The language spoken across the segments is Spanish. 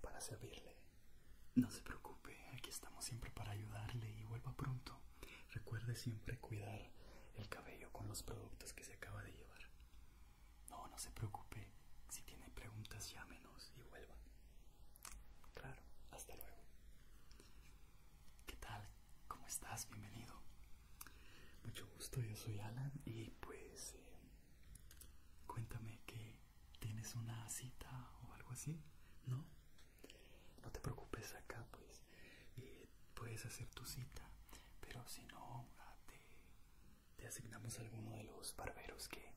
para servirle. No se preocupe, aquí estamos siempre para ayudarle y vuelva pronto. Recuerde siempre cuidar el cabello con los productos que se acaba de llevar. No, no se preocupe. Si tiene preguntas, llámenos y vuelva. Claro, hasta luego. ¿Qué tal? ¿Cómo estás? Bienvenido. Mucho gusto, yo soy Alan y pues eh, cuéntame que tienes una cita o algo así, ¿no? No te preocupes acá, pues eh, puedes hacer tu cita, pero si no, ah, te, asignamos alguno de los barberos que,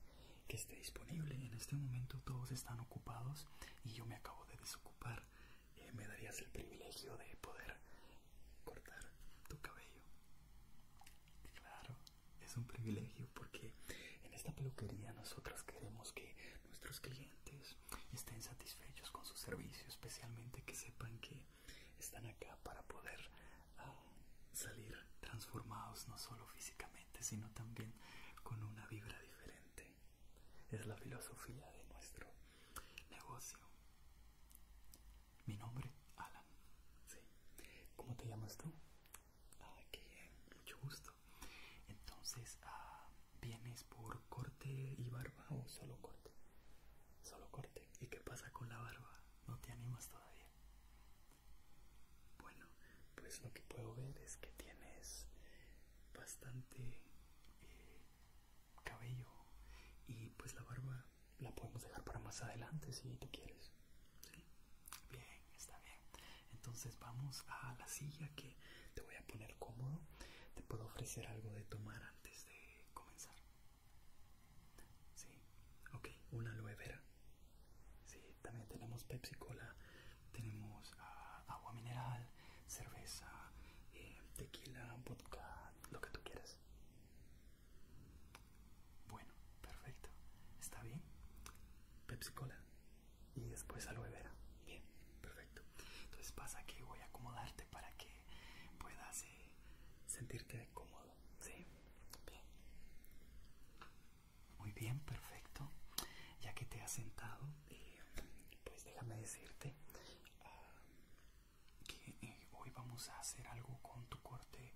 que esté disponible. En este momento todos están ocupados y yo me acabo de desocupar. Eh, me darías el privilegio de poder cortar tu cabello. Claro, es un privilegio porque en esta peluquería nosotras queremos que nuestros clientes estén satisfechos con su servicio, especialmente que sepan que están acá para poder ah, salir transformados no solo físicamente, sino también con una vibra diferente. Es la filosofía de nuestro Negocio. Mi nombre, Alan. Sí. ¿Cómo te llamas tú? Ah, qué Mucho gusto. Entonces, ah, ¿vienes por corte y barba o solo corte? Solo corte. ¿Y qué pasa con la barba? ¿No te animas todavía? Bueno, pues lo que puedo ver es que tienes bastante eh, cabello y pues la barba la podemos dejar para más adelante si tú quieres. Bien, está bien. Entonces vamos a la silla que te voy a poner cómodo. Te puedo ofrecer algo de tomar antes de comenzar. Sí, ok, una aloe vera. también tenemos Pepsi Cola, tenemos ah, agua mineral, cerveza, eh, tequila, vodka, lo que tú quieras. Bueno, perfecto. ¿Está bien? Pepsi Cola y después aloe vera. Bien, perfecto. Entonces pasa que voy a acomodarte para que puedas eh, sentirte cómodo. Sí, bien. Muy bien, perfecto. Ya que te has sentado, eh, pues déjame decirte, ah, que eh, hoy vamos a hacer algo con tu corte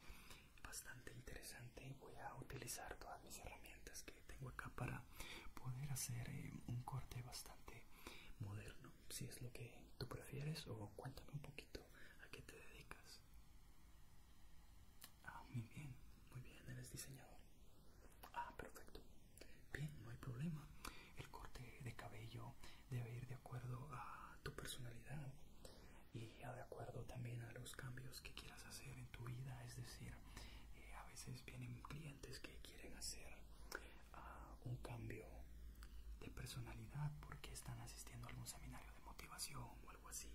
bastante interesante voy a utilizar todas mis herramientas que tengo acá para poder hacer eh, un corte bastante moderno si es lo que tú prefieres o cuéntame un poquito a qué te dedicas ah muy bien muy bien eres diseñador ah perfecto bien no hay problema el corte de cabello debe ir de acuerdo a tu personalidad y de acuerdo también a los cambios que quieras hacer en tu vida. Es decir, eh, a veces vienen clientes que quieren hacer ah, un cambio de personalidad porque están asistiendo a algún seminario de motivación o algo así.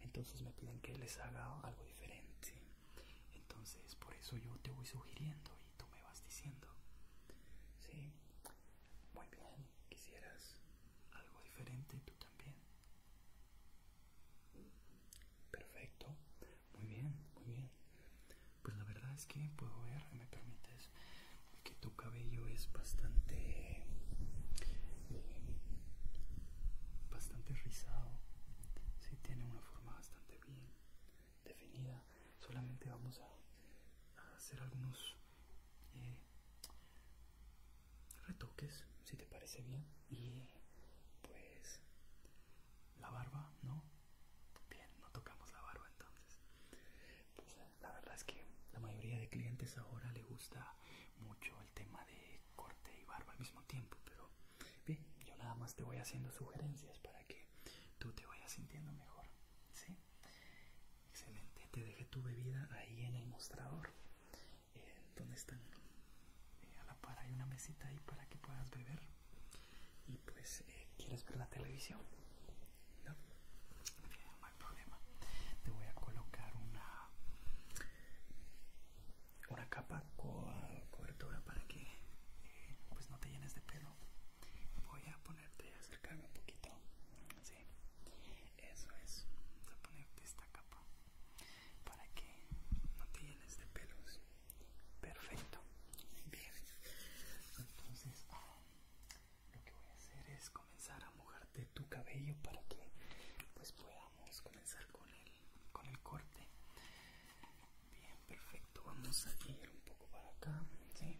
Entonces me piden que les haga algo diferente. Entonces por eso yo te voy sugiriendo y tú me vas diciendo. Sí. Muy bien, ¿quisieras algo diferente tú también? Perfecto, muy bien, muy bien. Pues la verdad es que puedo ver, me permites, que tu cabello es bastante... bastante rizado, sí, tiene una forma bastante bien definida. Solamente vamos a, hacer algunos eh, retoques, si te parece bien. Y pues la barba, ¿no? Bien, no tocamos la barba entonces. Pues, la verdad es que la mayoría de clientes ahora le gusta mucho el tema de corte y barba al mismo tiempo, pero bien, yo nada más te voy haciendo sugerencias para que tú te vayas sintiendo mejor. ¿sí? Excelente. Te dejé tu bebida ahí en el mostrador. donde están eh, a la par hay una mesita ahí para que puedas beber. Y pues, eh, ¿quieres ver la televisión? No, no hay problema. Te voy a colocar una una capa Con cobertura para que eh, pues no te llenes de pelo. Voy a poner voy a acercarme un poquito. Sí, eso es. Vamos a ponerte esta capa para que no te llenes de pelos. Perfecto. Bien. Entonces, ah, lo que voy a hacer es comenzar a mojarte tu cabello para que pues podamos comenzar con el con el corte. Bien, perfecto. Vamos a ir un poco para acá. Sí,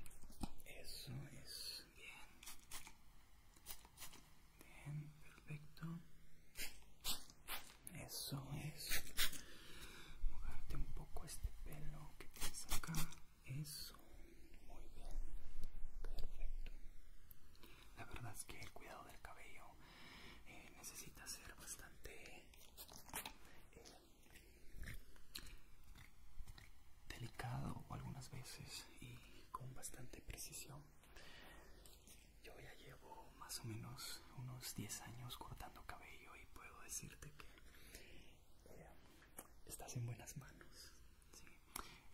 eso es bien. Bien, perfecto. Eso es. Mojarte un poco este pelo que tienes acá. Eso, muy bien. Perfecto. La verdad es que el cuidado del cabello eh, necesita ser bastante eh, delicado algunas veces y con bastante precisión. Yo ya llevo más o menos unos 10 años cortando cabello y puedo decirte que eh, estás en buenas manos.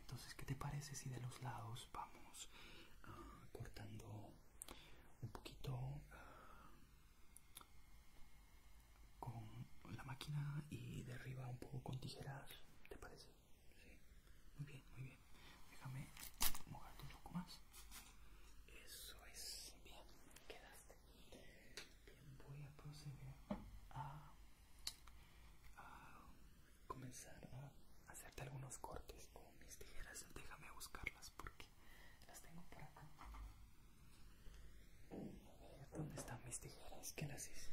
Entonces, ¿qué te parece si de los lados vamos ah, cortando un poquito ah, con la máquina y arriba un poco con tijeras, ¿te parece? Sí, muy bien, muy bien. Déjame mojarte un poco más. Eso es bien, quedaste. Bien, voy a proceder a comenzar a hacerte algunos cortes con mis tijeras. Déjame buscarlas porque las tengo por acá. ¿Dónde están mis tijeras? ¿Qué las hice?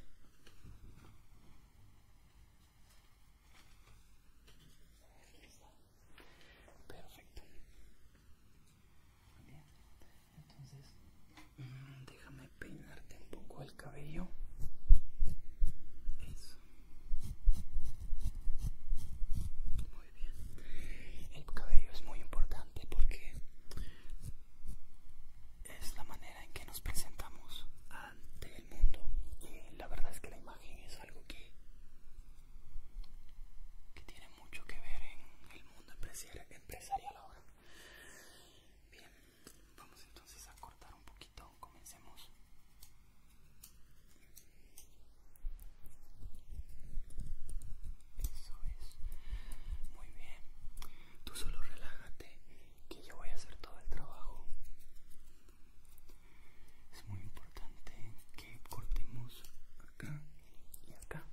Perfecto. Muy Bien. Entonces, mm, déjame peinarte un poco el cabello. Eso. Muy bien. El cabello es muy importante porque es la manera en que nos presentamos ante el mundo y la verdad es que la imagen es algo que que tiene mucho que ver en el mundo empresarial ahora bien vamos entonces a cortar un poquito comencemos eso es muy bien Tú solo relájate, que yo voy a hacer todo el trabajo. Es muy importante que cortemos acá y acá.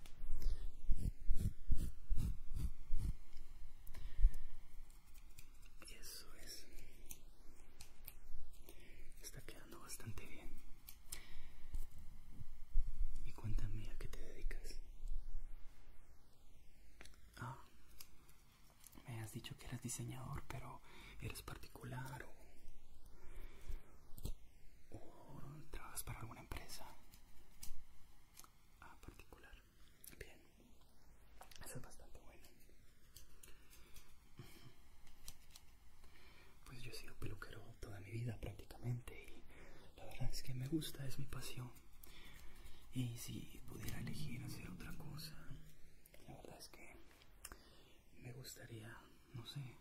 Eso es. Está quedando bastante bien. Y cuéntame a qué te dedicas. Ah, me has dicho que eres diseñador, pero eres particular o, trabajas para alguna empresa. Ah, particular. Bien. Eso es bastante bueno. Pues yo he sido peluquero toda mi vida prácticamente y la verdad es que me gusta, es mi pasión. Y si pudiera elegir hacer otra cosa, la verdad es que me gustaría, no sé,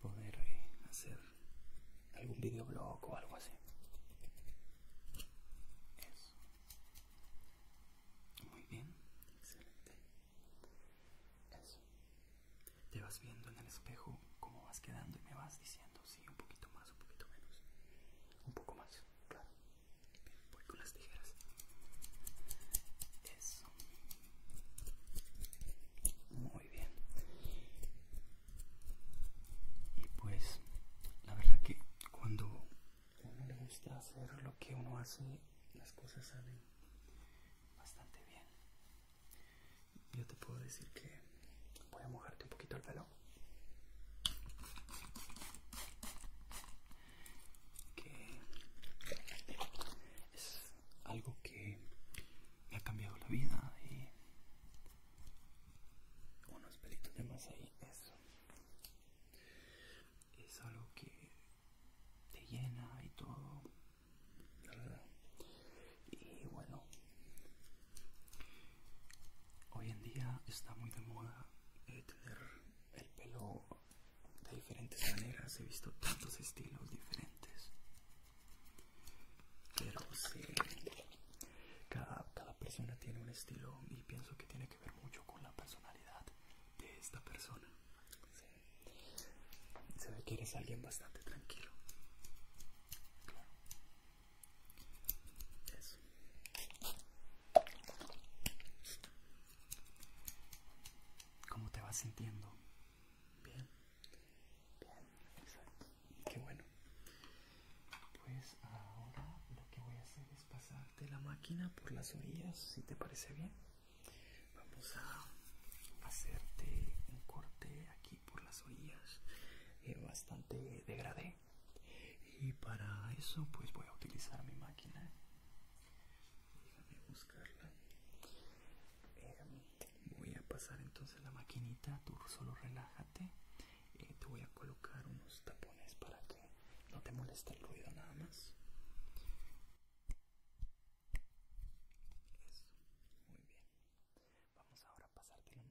poder eh, hacer algún videoblog o algo así. Eso. Muy bien, excelente. Eso te vas viendo en el espejo cómo vas quedando y me vas diciendo, si un poquito más, un poquito menos, un poco más, claro. voy con las tijeras. Eso. Muy bien. Y pues, la verdad que cuando uno le gusta hacer lo que uno hace, las cosas salen bastante bien yo te puedo decir que voy a mojarte un poquito el pelo que es algo que me ha cambiado la vida y unos pelitos de más ahí eso es algo que te llena y todo y bueno, hoy en día está muy de moda eh, tener el pelo de diferentes maneras. He visto tantos estilos diferentes. Pero sí, cada, persona tiene un estilo y pienso que tiene que ver mucho con la personalidad de esta persona. Se ve que eres alguien bastante tranquilo. Claro. Eso. ¿Cómo te vas sintiendo? Bien. Bien, exacto. Qué bueno. Pues ahora lo que voy a hacer es pasarte la máquina por las orillas, si te parece bien. Vamos a hacerte un corte aquí por las orillas eh, bastante degradé y para eso pues voy a utilizar mi máquina buscarla em, voy a pasar entonces la maquinita tú solo relájate eh, te voy a colocar unos tapones para que no te moleste el ruido nada más eso, muy bien Vamos ahora a de la máquina.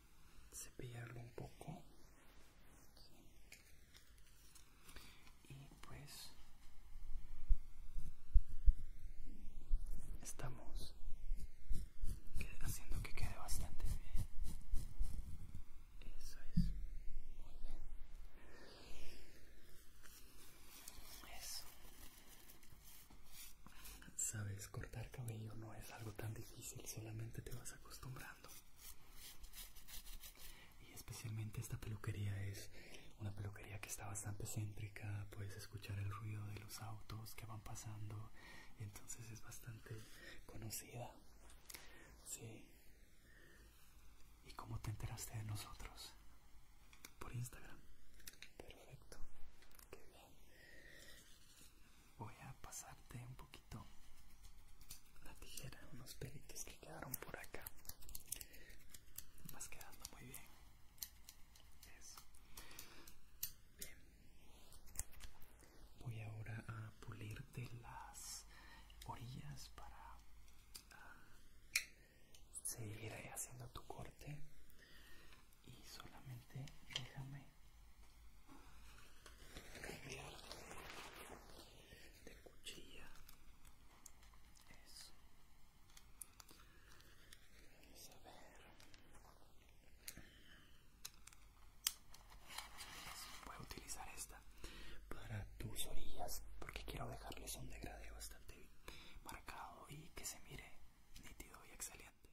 cepillarlo un poco y pues estamos haciendo que quede bastante bien eso es muy bien eso Sabes, cortar cabello no es algo tan difícil, solamente te vas acostumbrando. Y especialmente esta peluquería es una peluquería que está bastante céntrica, puedes escuchar el ruido de los autos que van pasando, entonces es bastante conocida. Sí. ¿Y cómo te enteraste de nosotros? Por Instagram. Perfecto. Qué bien voy a pasarte un poquito la tijera, unos pelitos que quedaron por acá. Vas quedando muy bien. Eso. Bien. Voy ahora a pulirte las orillas para ah, seguir haciendo tu corte y solamente déjame cambiar de cuchilla eso a ver voy a utilizar esta para tus orillas porque quiero dejarles un degradeo bastante marcado y que se mire nítido y excelente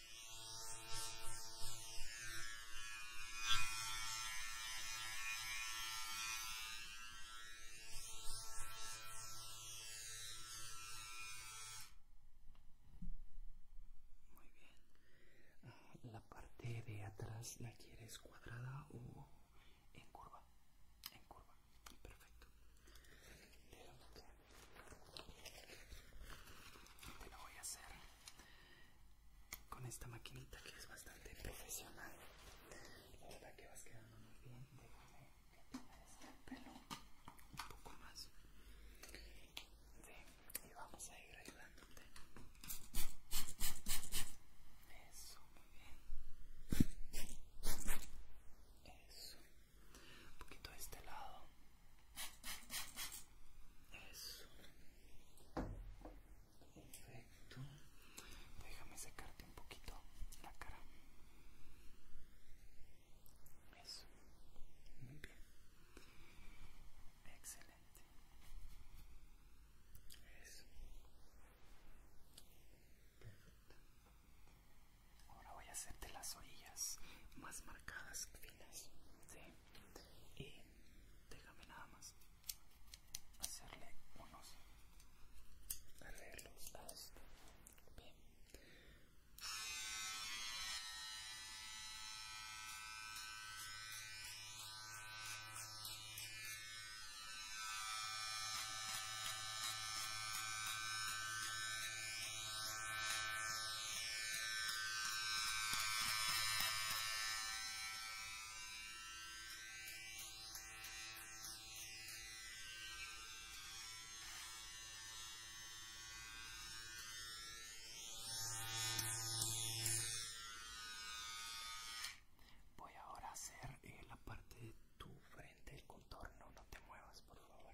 Muy bien. Ah, la parte de atrás la quieres cuadrada o en curva. En curva. Perfecto. voy a hacer con esta maquinita que es bastante profesional la verdad que vas quedando muy bien déjame este pelo un poco más y vamos a ir ayudándote eso muy bien eso un poquito de este lado eso. Perfecto. Déjame secarte un poquito la cara. Eso. Muy bien. Excelente. Eso. Perfecto. Ahora voy a hacerte las orillas más marcadas, finas. Sí y déjame nada más hacerle unos arreglos a esto Bien. Voy ahora a hacer eh, la parte de tu frente, el contorno, no te muevas por favor.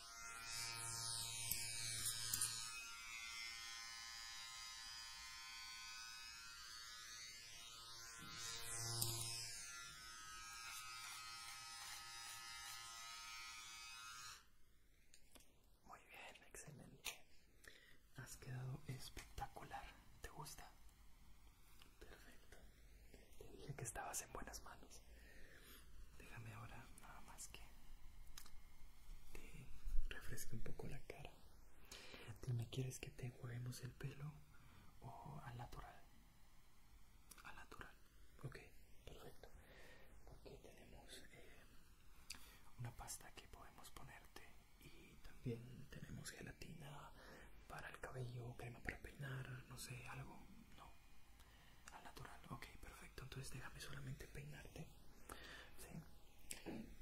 Muy bien, excelente. Has quedado espectacular. ¿Te gusta? Perfecto. Te dije que estabas en buenas manos. Déjame ahora nada más que te refresque un poco la cara. Dime, ¿quieres que te juegamos el pelo o al natural? Al natural. Ok, perfecto. Porque tenemos eh, una pasta que podemos ponerte y también tenemos gelatina para el cabello, crema para peinar, no sé, algo. No, al natural, ok, perfecto. Entonces déjame solamente peinarte.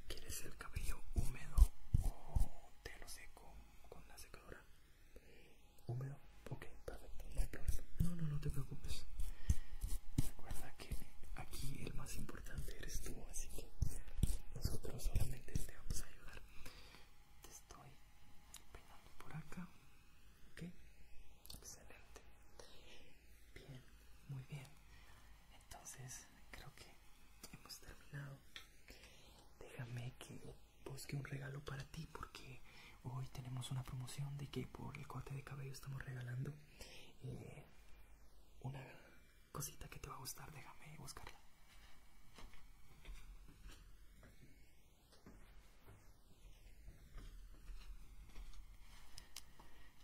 ¿Quieres el cabello húmedo o te lo seco con la secadora? Húmedo, ok, perfecto. No No, no, no te preocupes. Recuerda que aquí el más importante eres tú, así que nosotros solamente te vamos a ayudar. Te estoy por acá, ok, excelente, bien, muy bien, entonces creo que hemos terminado, déjame que busque un regalo para ti porque hoy tenemos una promoción de que por el corte de cabello estamos regalando eh, una cosita que te va a gustar, déjame buscarla.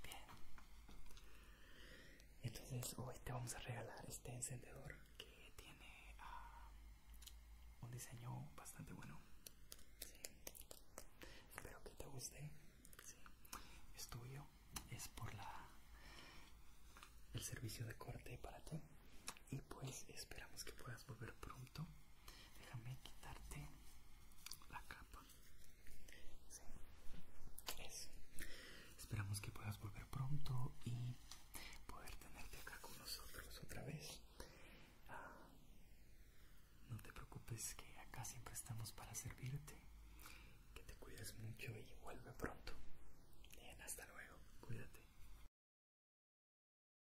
Bien. Entonces hoy oh, te este, vamos a regalar este encendedor que tiene ah, un diseño bastante bueno. Espero que te guste. Es tuyo. Es por la el servicio de corte para ti. Y pues esperamos que puedas volver pronto déjame quitarte la capa esperamos que puedas volver pronto y poder tenerte acá con nosotros otra vez ah, no te preocupes que acá siempre estamos para servirte que te cuides mucho y vuelve pronto bien hasta luego cuídate